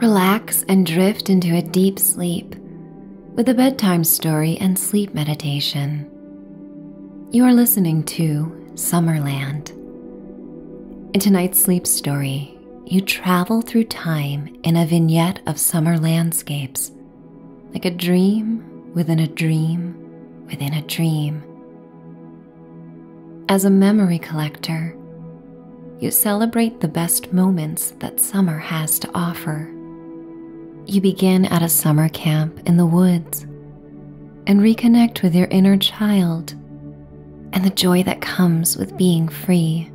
Relax and drift into a deep sleep with a bedtime story and sleep meditation. You are listening to Summerland. In tonight's sleep story, you travel through time in a vignette of summer landscapes, like a dream within a dream within a dream. As a memory collector, you celebrate the best moments that summer has to offer. You begin at a summer camp in the woods and reconnect with your inner child and the joy that comes with being free.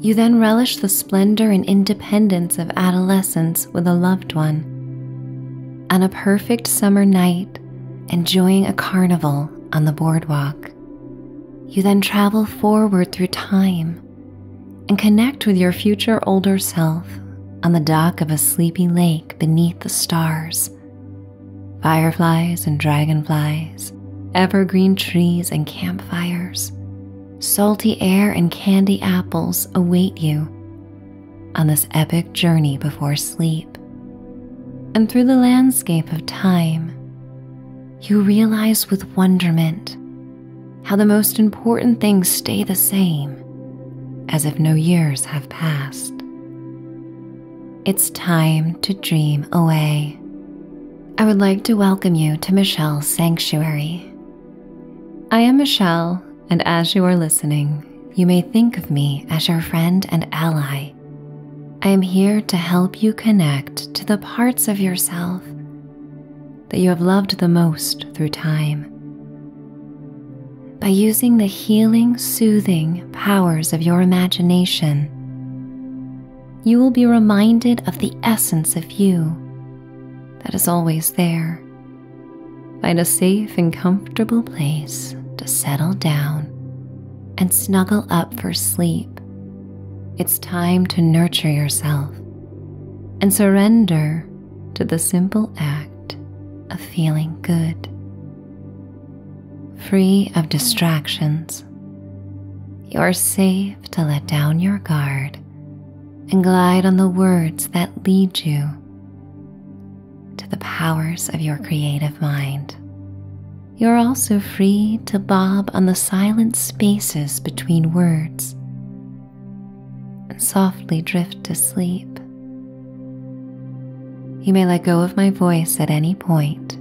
You then relish the splendor and independence of adolescence with a loved one. On a perfect summer night, enjoying a carnival on the boardwalk. You then travel forward through time and connect with your future older self on the dock of a sleepy lake beneath the stars. Fireflies and dragonflies, evergreen trees and campfires, salty air and candy apples await you on this epic journey before sleep and through the landscape of time, you realize with wonderment how the most important things stay the same as if no years have passed. It's time to dream away. I would like to welcome you to Michelle's Sanctuary. I am Michelle, and as you are listening, you may think of me as your friend and ally I am here to help you connect to the parts of yourself that you have loved the most through time. By using the healing, soothing powers of your imagination, you will be reminded of the essence of you that is always there. Find a safe and comfortable place to settle down and snuggle up for sleep. It's time to nurture yourself and surrender to the simple act of feeling good. Free of distractions, you are safe to let down your guard and glide on the words that lead you to the powers of your creative mind. You're also free to bob on the silent spaces between words and softly drift to sleep. You may let go of my voice at any point.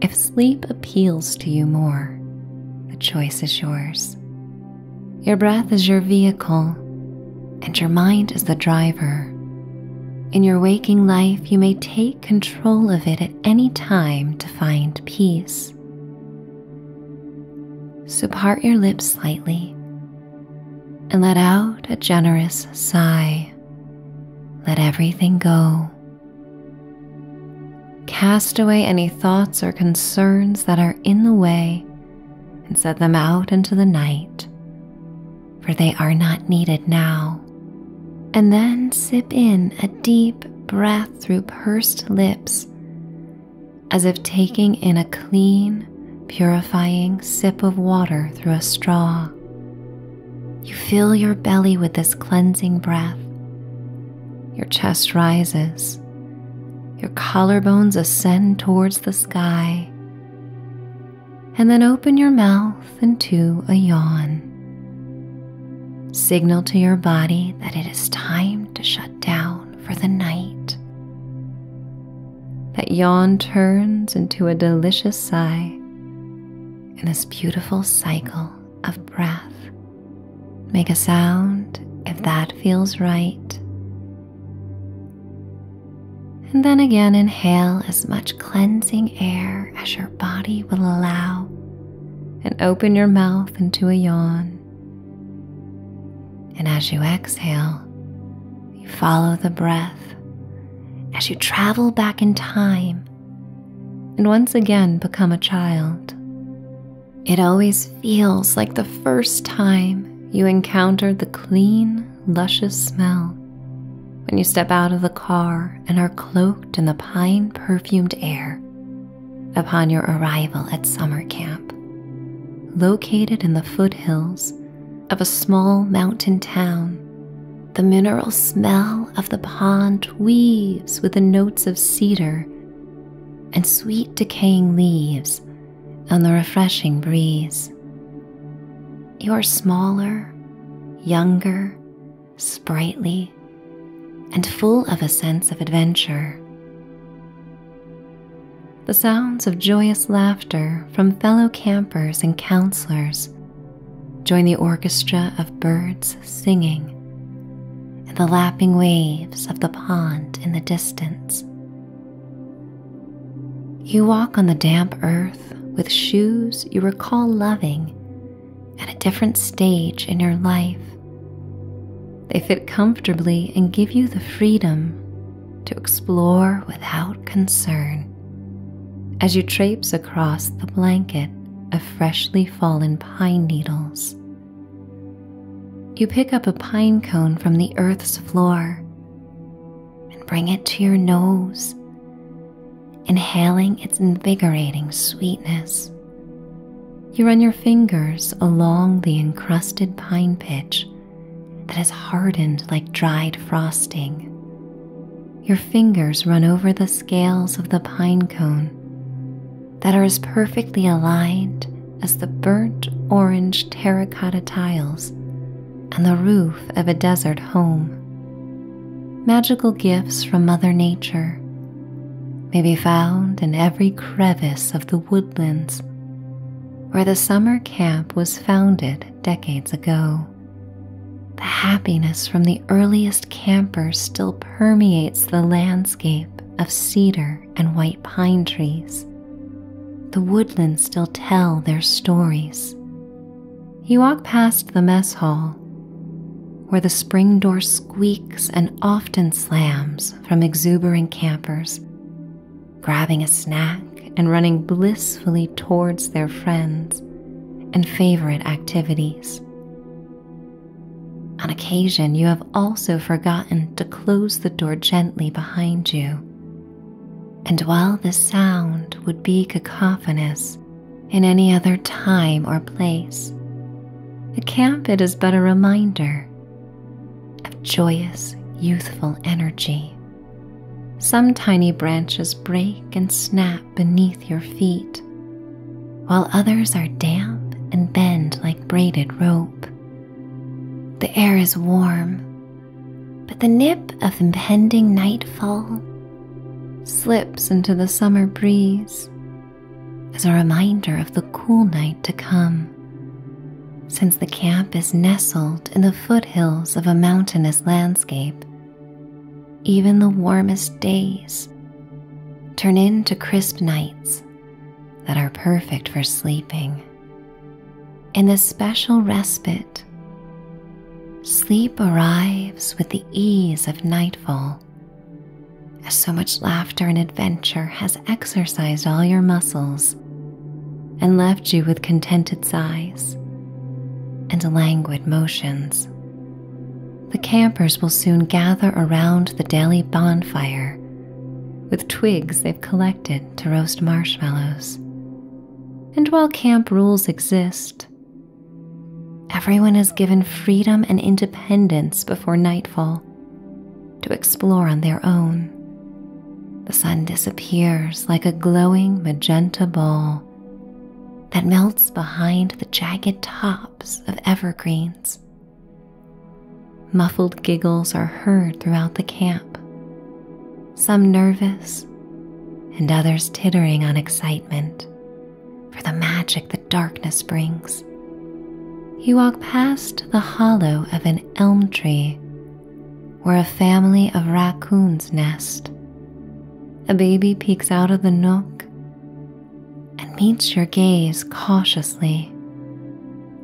If sleep appeals to you more, the choice is yours. Your breath is your vehicle, and your mind is the driver. In your waking life, you may take control of it at any time to find peace. So part your lips slightly and let out a generous sigh. Let everything go. Cast away any thoughts or concerns that are in the way and set them out into the night for they are not needed now. And then sip in a deep breath through pursed lips, as if taking in a clean, purifying sip of water through a straw. You fill your belly with this cleansing breath. Your chest rises. Your collarbones ascend towards the sky and then open your mouth into a yawn. Signal to your body that it is time to shut down for the night. That yawn turns into a delicious sigh and this beautiful cycle of breath. Make a sound if that feels right. And then again, inhale as much cleansing air as your body will allow and open your mouth into a yawn. And as you exhale, you follow the breath as you travel back in time and once again become a child. It always feels like the first time you encountered the clean, luscious smell when you step out of the car and are cloaked in the pine perfumed air upon your arrival at summer camp, located in the foothills of a small mountain town. The mineral smell of the pond weaves with the notes of cedar and sweet decaying leaves and the refreshing breeze. You're smaller, younger, sprightly, and full of a sense of adventure. The sounds of joyous laughter from fellow campers and counselors join the orchestra of birds singing and the lapping waves of the pond in the distance. You walk on the damp earth with shoes you recall loving at a different stage in your life. They fit comfortably and give you the freedom to explore without concern as you traipse across the blanket of freshly fallen pine needles. You pick up a pine cone from the earth's floor and bring it to your nose inhaling its invigorating sweetness. You run your fingers along the encrusted pine pitch that has hardened like dried frosting. Your fingers run over the scales of the pine cone that are as perfectly aligned as the burnt orange terracotta tiles and the roof of a desert home. Magical gifts from Mother Nature may be found in every crevice of the woodlands where the summer camp was founded decades ago. The happiness from the earliest camper still permeates the landscape of cedar and white pine trees. The woodlands still tell their stories, you walk past the mess hall, where the spring door squeaks and often slams from exuberant campers, grabbing a snack and running blissfully towards their friends and favorite activities. On occasion, you have also forgotten to close the door gently behind you and while the sound would be cacophonous in any other time or place, the camp it is but a reminder of joyous, youthful energy. Some tiny branches break and snap beneath your feet, while others are damp and bend like braided rope. The air is warm but the nip of impending nightfall slips into the summer breeze as a reminder of the cool night to come. Since the camp is nestled in the foothills of a mountainous landscape, even the warmest days turn into crisp nights that are perfect for sleeping. In a special respite Sleep arrives with the ease of nightfall, as so much laughter and adventure has exercised all your muscles and left you with contented sighs and languid motions. The campers will soon gather around the daily bonfire with twigs they've collected to roast marshmallows. And while camp rules exist, Everyone is given freedom and independence before nightfall to explore on their own. The sun disappears like a glowing magenta ball that melts behind the jagged tops of evergreens. Muffled giggles are heard throughout the camp, some nervous, and others tittering on excitement for the magic that darkness brings. You walk past the hollow of an elm tree where a family of raccoons nest. A baby peeks out of the nook and meets your gaze cautiously.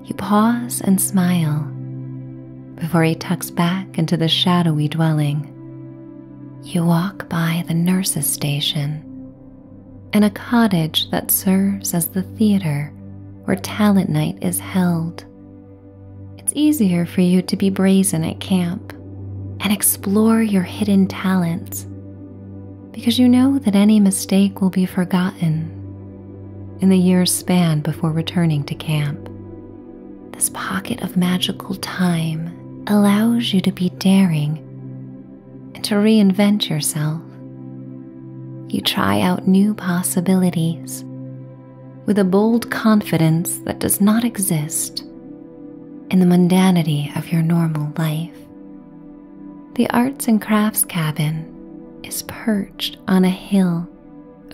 You pause and smile before he tucks back into the shadowy dwelling. You walk by the nurse's station and a cottage that serves as the theater where talent night is held. It's easier for you to be brazen at camp and explore your hidden talents because you know that any mistake will be forgotten in the year's span before returning to camp. This pocket of magical time allows you to be daring and to reinvent yourself. You try out new possibilities with a bold confidence that does not exist in the mundanity of your normal life. The Arts and Crafts Cabin is perched on a hill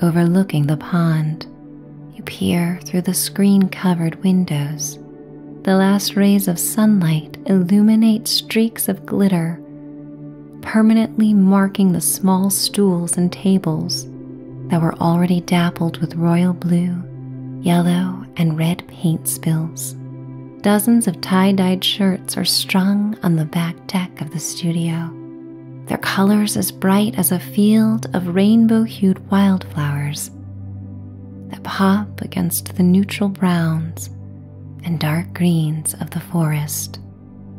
Overlooking the pond, you peer through the screen covered windows. The last rays of sunlight illuminate streaks of glitter, permanently marking the small stools and tables that were already dappled with royal blue, yellow, and red paint spills. Dozens of tie dyed shirts are strung on the back deck of the studio, their colors as bright as a field of rainbow hued wildflowers that pop against the neutral browns and dark greens of the forest.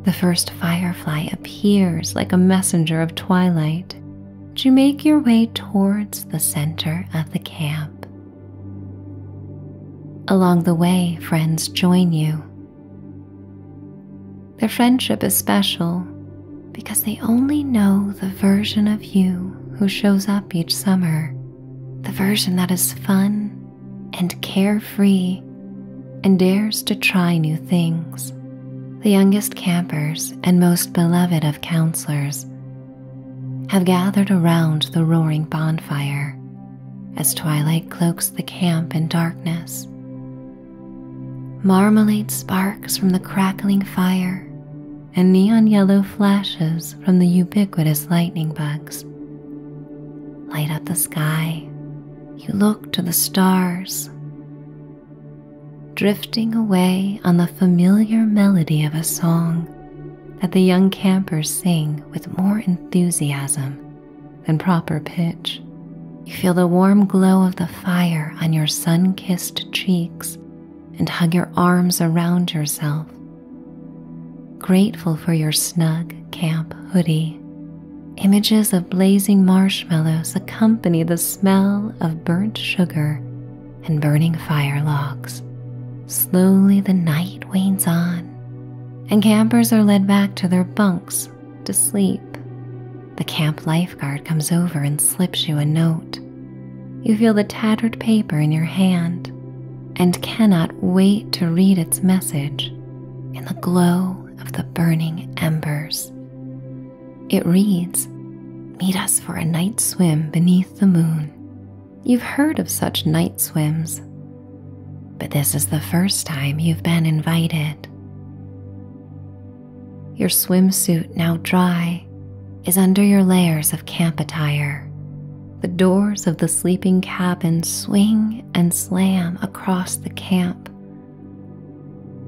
The first firefly appears like a messenger of twilight. As you make your way towards the center of the camp. Along the way, friends join you. Their friendship is special because they only know the version of you who shows up each summer, the version that is fun and carefree and dares to try new things. The youngest campers and most beloved of counselors have gathered around the roaring bonfire as twilight cloaks the camp in darkness Marmalade sparks from the crackling fire and neon yellow flashes from the ubiquitous lightning bugs light up the sky. You look to the stars. Drifting away on the familiar melody of a song that the young campers sing with more enthusiasm than proper pitch. You feel the warm glow of the fire on your sun kissed cheeks and hug your arms around yourself. Grateful for your snug camp hoodie, images of blazing marshmallows accompany the smell of burnt sugar and burning fire logs. Slowly, the night wanes on, and campers are led back to their bunks to sleep, the camp lifeguard comes over and slips you a note. You feel the tattered paper in your hand and cannot wait to read its message in the glow of the burning embers. It reads, Meet us for a night swim beneath the moon. You've heard of such night swims, but this is the first time you've been invited. Your swimsuit, now dry, is under your layers of camp attire. The doors of the sleeping cabin swing and slam across the camp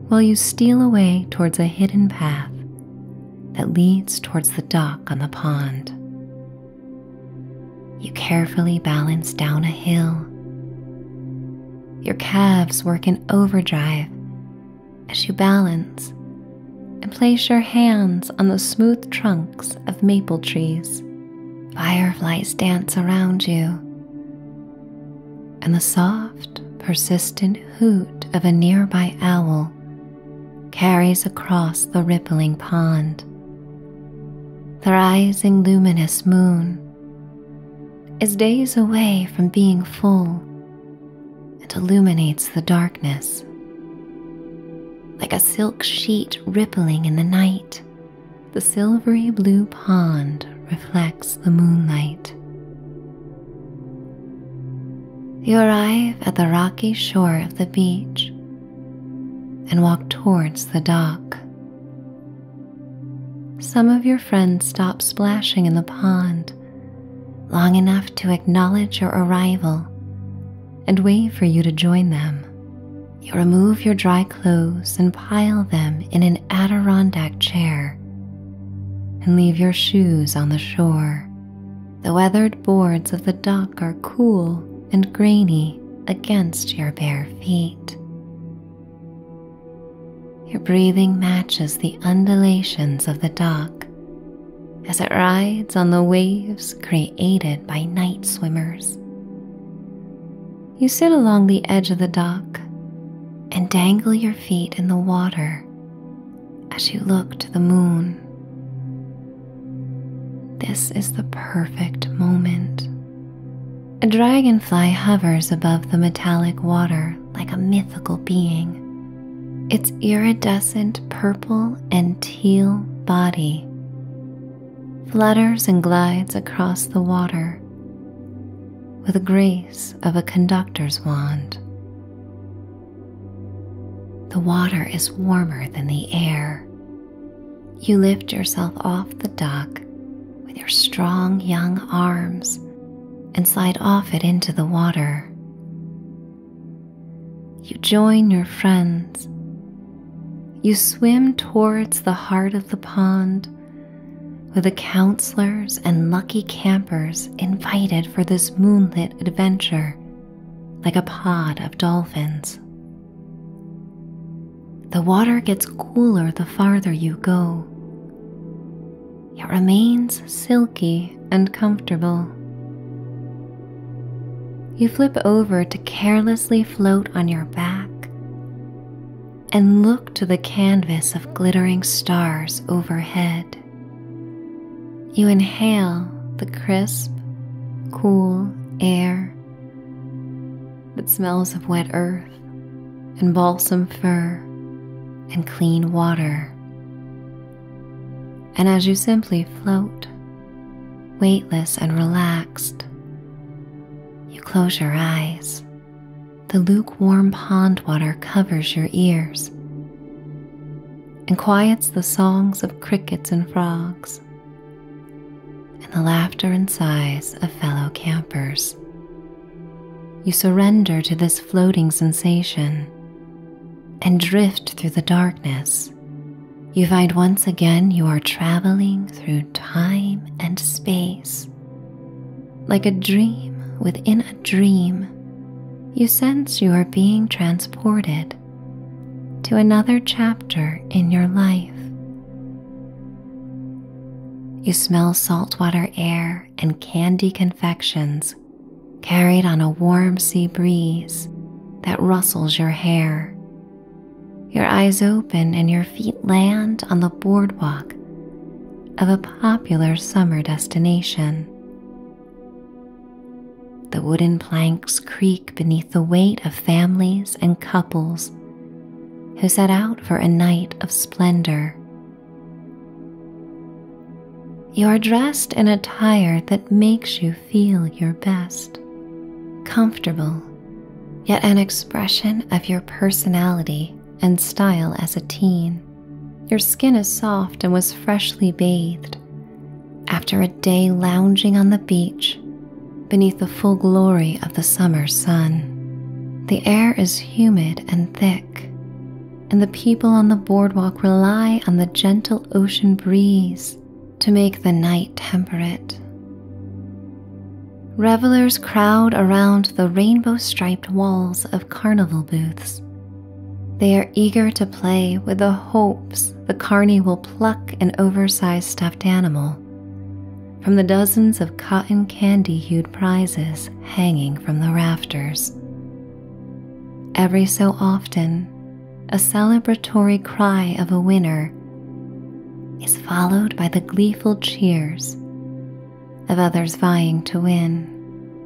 while you steal away towards a hidden path that leads towards the dock on the pond. You carefully balance down a hill, your calves work in overdrive as you balance and place your hands on the smooth trunks of maple trees. Fireflies dance around you, and the soft, persistent hoot of a nearby owl carries across the rippling pond. The rising luminous moon is days away from being full It illuminates the darkness. Like a silk sheet rippling in the night, the silvery blue pond reflects the moonlight. You arrive at the rocky shore of the beach and walk towards the dock. Some of your friends stop splashing in the pond long enough to acknowledge your arrival and wait for you to join them. You remove your dry clothes and pile them in an Adirondack chair and leave your shoes on the shore. The weathered boards of the dock are cool and grainy against your bare feet. Your breathing matches the undulations of the dock as it rides on the waves created by night swimmers. You sit along the edge of the dock and dangle your feet in the water as you look to the moon. This is the perfect moment a dragonfly hovers above the metallic water like a mythical being. Its iridescent purple and teal body flutters and glides across the water with the grace of a conductor's wand. The water is warmer than the air. You lift yourself off the dock with your strong young arms and slide off it into the water. You join your friends. You swim towards the heart of the pond with the counselors and lucky campers invited for this moonlit adventure like a pod of dolphins. The water gets cooler the farther you go, it remains silky and comfortable. You flip over to carelessly float on your back and look to the canvas of glittering stars overhead. You inhale the crisp, cool air that smells of wet earth and balsam fir and clean water. And as you simply float, weightless and relaxed, you close your eyes. The lukewarm pond water covers your ears and quiets the songs of crickets and frogs and the laughter and sighs of fellow campers. You surrender to this floating sensation and drift through the darkness. You find once again you are traveling through time and space. Like a dream within a dream, you sense you are being transported to another chapter in your life. You smell saltwater air and candy confections carried on a warm sea breeze that rustles your hair. Your eyes open and your feet land on the boardwalk of a popular summer destination. The wooden planks creak beneath the weight of families and couples who set out for a night of splendor you are dressed in attire that makes you feel your best, comfortable, yet an expression of your personality and style as a teen. Your skin is soft and was freshly bathed after a day lounging on the beach beneath the full glory of the summer sun. The air is humid and thick, and the people on the boardwalk rely on the gentle ocean breeze to make the night temperate. Revelers crowd around the rainbow striped walls of carnival booths. They are eager to play with the hopes the carny will pluck an oversized stuffed animal from the dozens of cotton candy hued prizes hanging from the rafters. Every so often, a celebratory cry of a winner is followed by the gleeful cheers of others vying to win.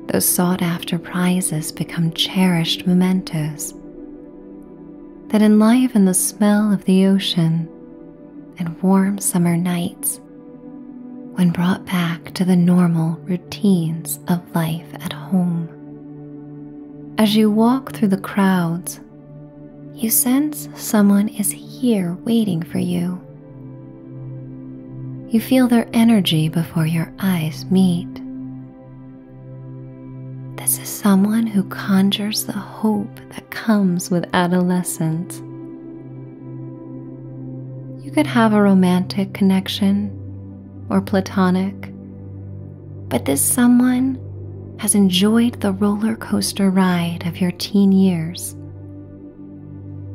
Those sought after prizes become cherished mementos that enliven the smell of the ocean and warm summer nights when brought back to the normal routines of life at home. As you walk through the crowds, you sense someone is here waiting for you. You feel their energy before your eyes meet. This is someone who conjures the hope that comes with adolescence you could have a romantic connection or platonic, but this someone has enjoyed the roller coaster ride of your teen years.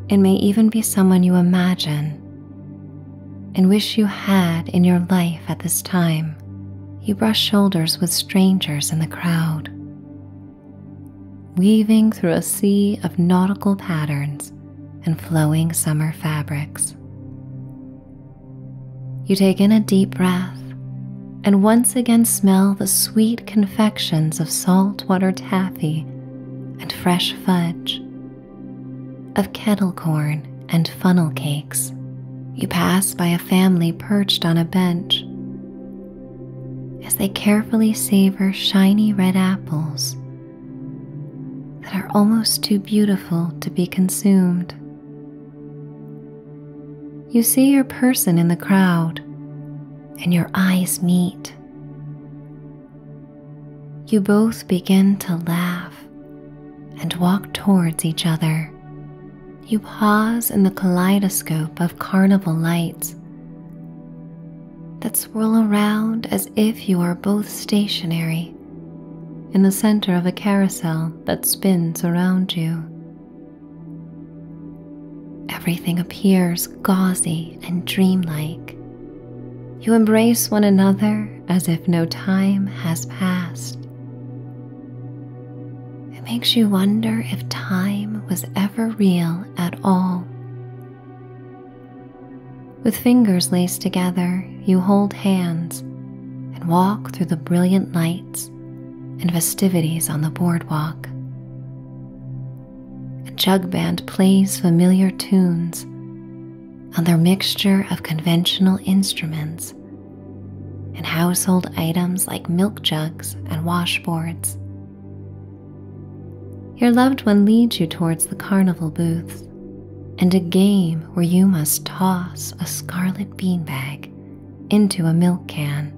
It may even be someone you imagine and wish you had in your life at this time. You brush shoulders with strangers in the crowd weaving through a sea of nautical patterns and flowing summer fabrics. You take in a deep breath and once again smell the sweet confections of saltwater taffy and fresh fudge, of kettle corn and funnel cakes. You pass by a family perched on a bench, as they carefully savor shiny red apples that are almost too beautiful to be consumed. You see your person in the crowd, and your eyes meet. You both begin to laugh and walk towards each other. You pause in the kaleidoscope of carnival lights that swirl around as if you are both stationary in the center of a carousel that spins around you. Everything appears gauzy and dreamlike. You embrace one another as if no time has passed. It makes you wonder if time was ever real at all. With fingers laced together, you hold hands and walk through the brilliant lights and festivities on the boardwalk. A jug band plays familiar tunes on their mixture of conventional instruments and household items like milk jugs and washboards. Your loved one leads you towards the carnival booths and a game where you must toss a scarlet beanbag into a milk can.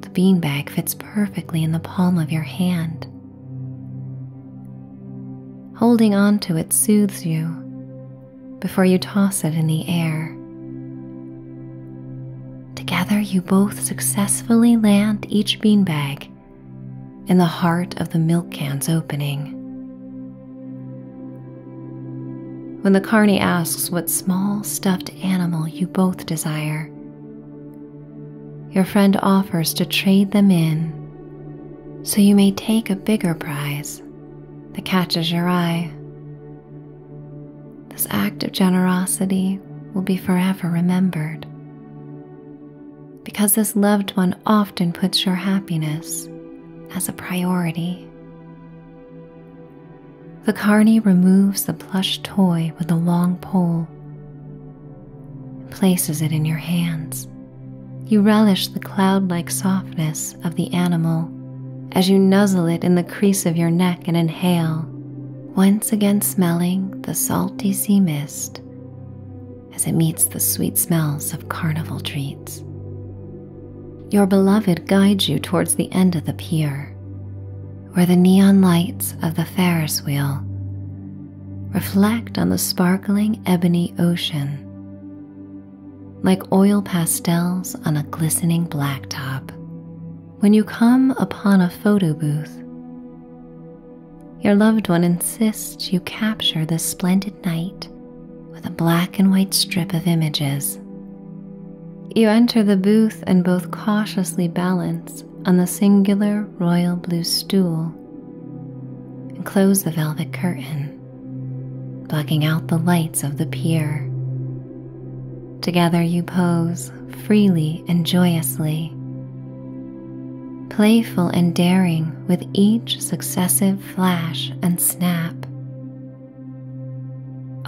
The beanbag fits perfectly in the palm of your hand. Holding on to it soothes you before you toss it in the air. Together, you both successfully land each beanbag in the heart of the milk can's opening. When the carny asks what small stuffed animal you both desire, your friend offers to trade them in so you may take a bigger prize that catches your eye. This act of generosity will be forever remembered because this loved one often puts your happiness as a priority. The carny removes the plush toy with a long pole and places it in your hands. You relish the cloud like softness of the animal as you nuzzle it in the crease of your neck and inhale, once again smelling the salty sea mist as it meets the sweet smells of carnival treats. Your beloved guides you towards the end of the pier, where the neon lights of the Ferris wheel reflect on the sparkling ebony ocean like oil pastels on a glistening blacktop when you come upon a photo booth. Your loved one insists you capture this splendid night with a black and white strip of images. You enter the booth and both cautiously balance on the singular royal blue stool and close the velvet curtain, blocking out the lights of the pier. Together you pose freely and joyously, playful and daring with each successive flash and snap.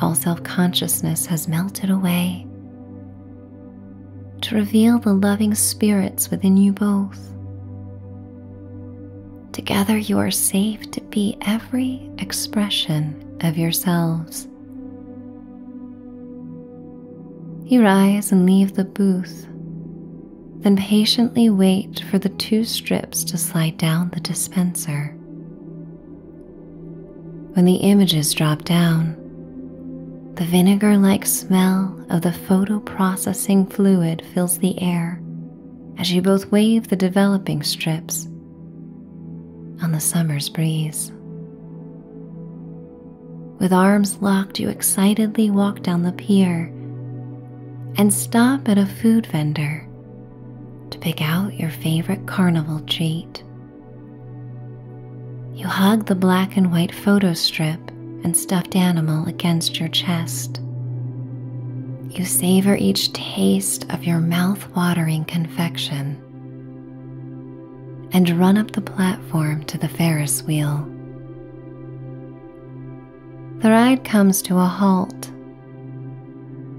All self consciousness has melted away to reveal the loving spirits within you both. Together you are safe to be every expression of yourselves. You rise and leave the booth, then patiently wait for the two strips to slide down the dispenser. When the images drop down, the vinegar like smell of the photoprocessing fluid fills the air as you both wave the developing strips on the summer's breeze. With arms locked, you excitedly walk down the pier and stop at a food vendor to pick out your favorite carnival treat. You hug the black and white photo strip and stuffed animal against your chest. You savor each taste of your mouth watering confection and run up the platform to the Ferris wheel. The ride comes to a halt,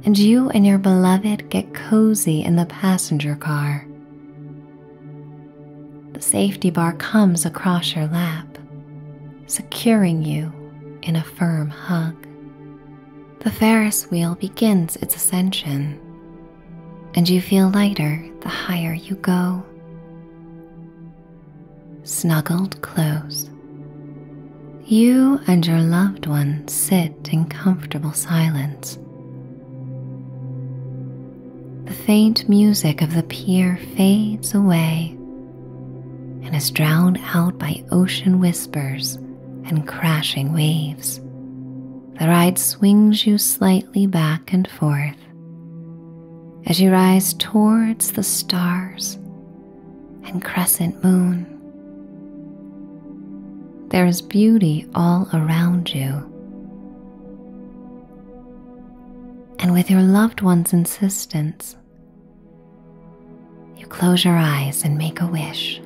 and you and your beloved get cozy in the passenger car. The safety bar comes across your lap, securing you in a firm hug the Ferris wheel begins its ascension, and you feel lighter the higher you go. Snuggled close, you and your loved one sit in comfortable silence. The faint music of the pier fades away and is drowned out by ocean whispers and crashing waves, the ride swings you slightly back and forth as you rise towards the stars and crescent moon. There is beauty all around you. And with your loved one's insistence, you close your eyes and make a wish.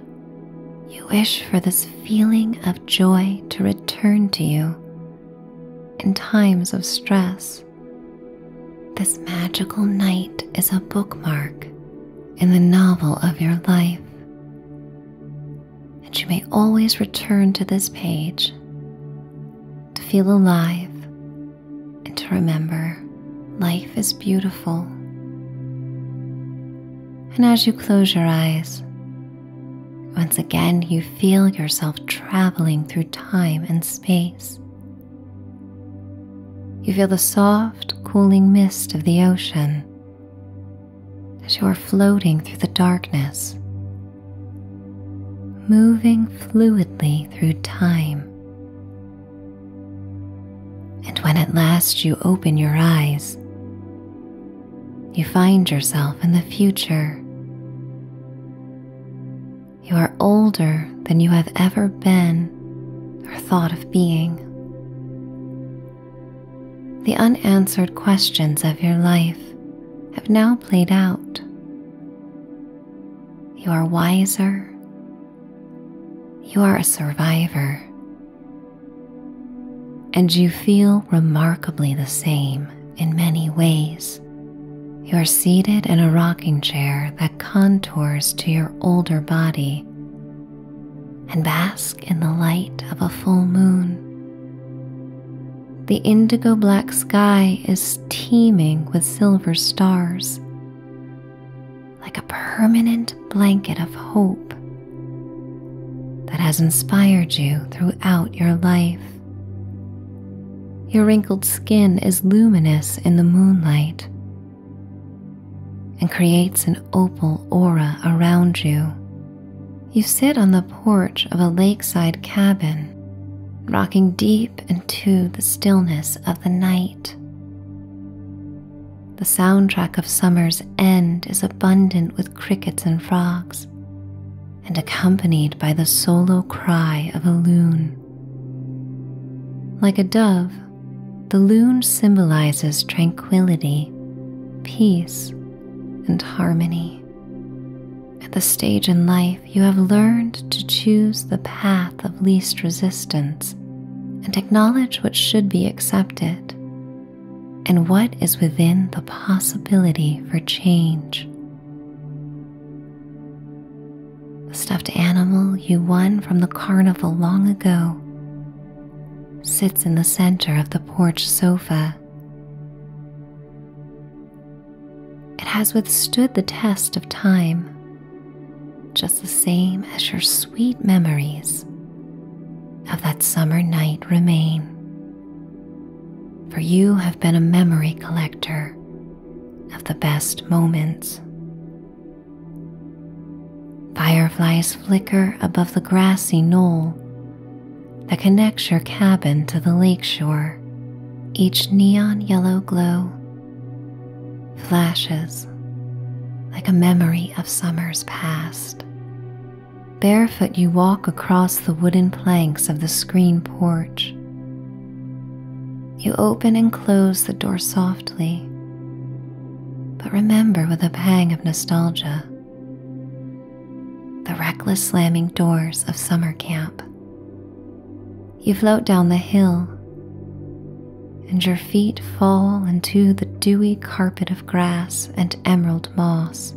You wish for this feeling of joy to return to you in times of stress. This magical night is a bookmark in the novel of your life, and you may always return to this page to feel alive and to remember life is beautiful. And as you close your eyes, once again you feel yourself traveling through time and space. You feel the soft, cooling mist of the ocean as you are floating through the darkness, moving fluidly through time and when at last you open your eyes, you find yourself in the future. You are older than you have ever been or thought of being. The unanswered questions of your life have now played out. You are wiser you are a survivor. And you feel remarkably the same in many ways. You are seated in a rocking chair that contours to your older body and bask in the light of a full moon. The indigo black sky is teeming with silver stars, like a permanent blanket of hope that has inspired you throughout your life. Your wrinkled skin is luminous in the moonlight and creates an opal aura around you. You sit on the porch of a lakeside cabin, rocking deep into the stillness of the night. The soundtrack of summer's end is abundant with crickets and frogs, and accompanied by the solo cry of a loon. Like a dove, the loon symbolizes tranquility, peace, and harmony. At the stage in life, you have learned to choose the path of least resistance and acknowledge what should be accepted and what is within the possibility for change. The stuffed animal you won from the carnival long ago sits in the center of the porch sofa. It has withstood the test of time just the same as your sweet memories of that summer night remain. For you have been a memory collector of the best moments. Fireflies flicker above the grassy knoll that connects your cabin to the lakeshore, each neon yellow glow flashes like a memory of summers past. Barefoot, you walk across the wooden planks of the screen porch. You open and close the door softly, but remember with a pang of nostalgia the reckless slamming doors of summer camp. You float down the hill, and your feet fall into the dewy carpet of grass and emerald moss.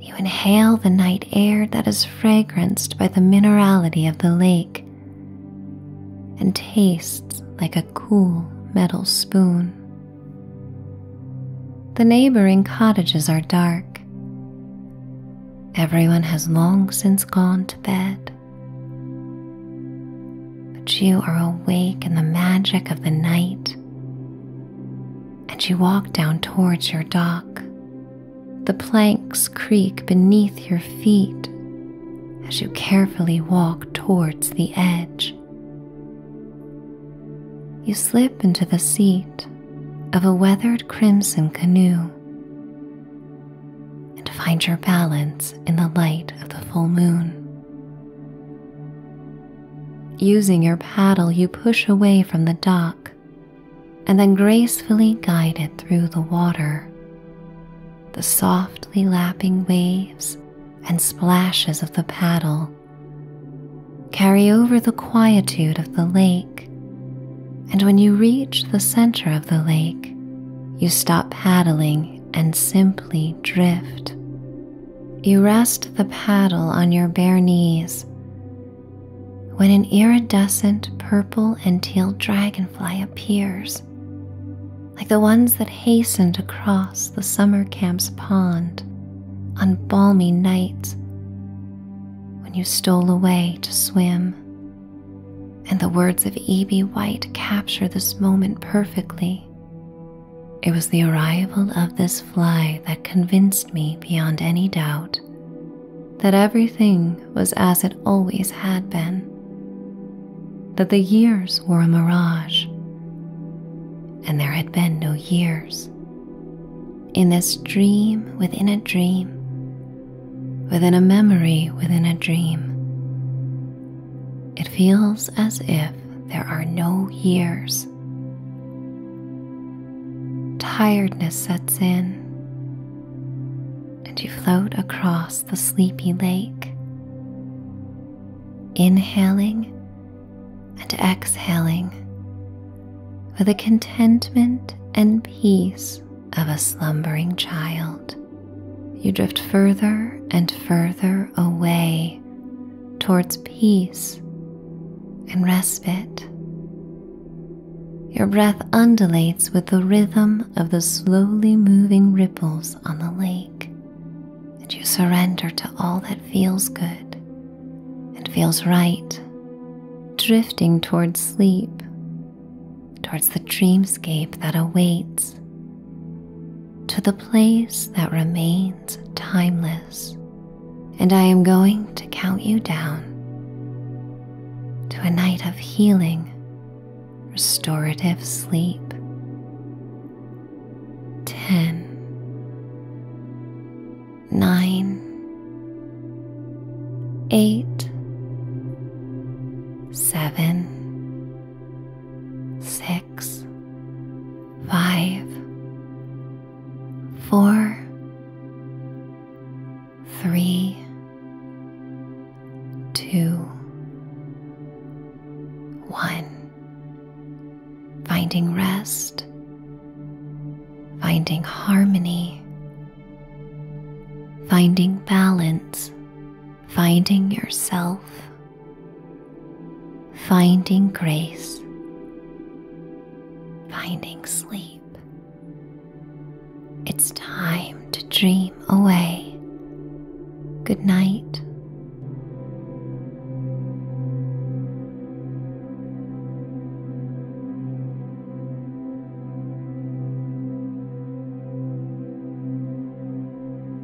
You inhale the night air that is fragranced by the minerality of the lake and tastes like a cool metal spoon. The neighboring cottages are dark. Everyone has long since gone to bed. But you are awake in the magic of the night, and you walk down towards your dock. The planks creak beneath your feet as you carefully walk towards the edge. You slip into the seat of a weathered crimson canoe and find your balance in the light of the full moon. Using your paddle, you push away from the dock and then gracefully guide it through the water. The softly lapping waves and splashes of the paddle carry over the quietude of the lake, and when you reach the center of the lake, you stop paddling and simply drift. You rest the paddle on your bare knees when an iridescent purple and teal dragonfly appears, like the ones that hastened across the summer camp's pond on balmy nights when you stole away to swim and the words of E.B. White capture this moment perfectly. It was the arrival of this fly that convinced me beyond any doubt that everything was as it always had been, that the years were a mirage, and there had been no years. In this dream within a dream, within a memory within a dream, it feels as if there are no years. Tiredness sets in, and you float across the sleepy lake, inhaling and exhaling with the contentment and peace of a slumbering child you drift further and further away towards peace and respite. Your breath undulates with the rhythm of the slowly moving ripples on the lake, and you surrender to all that feels good and feels right, drifting towards sleep towards the dreamscape that awaits, to the place that remains timeless. And I am going to count you down to a night of healing, restorative sleep. 10, six, five, four, three, two, one. Finding rest, finding harmony, finding balance finding yourself, finding grace, finding sleep. It's time to dream away. Good night.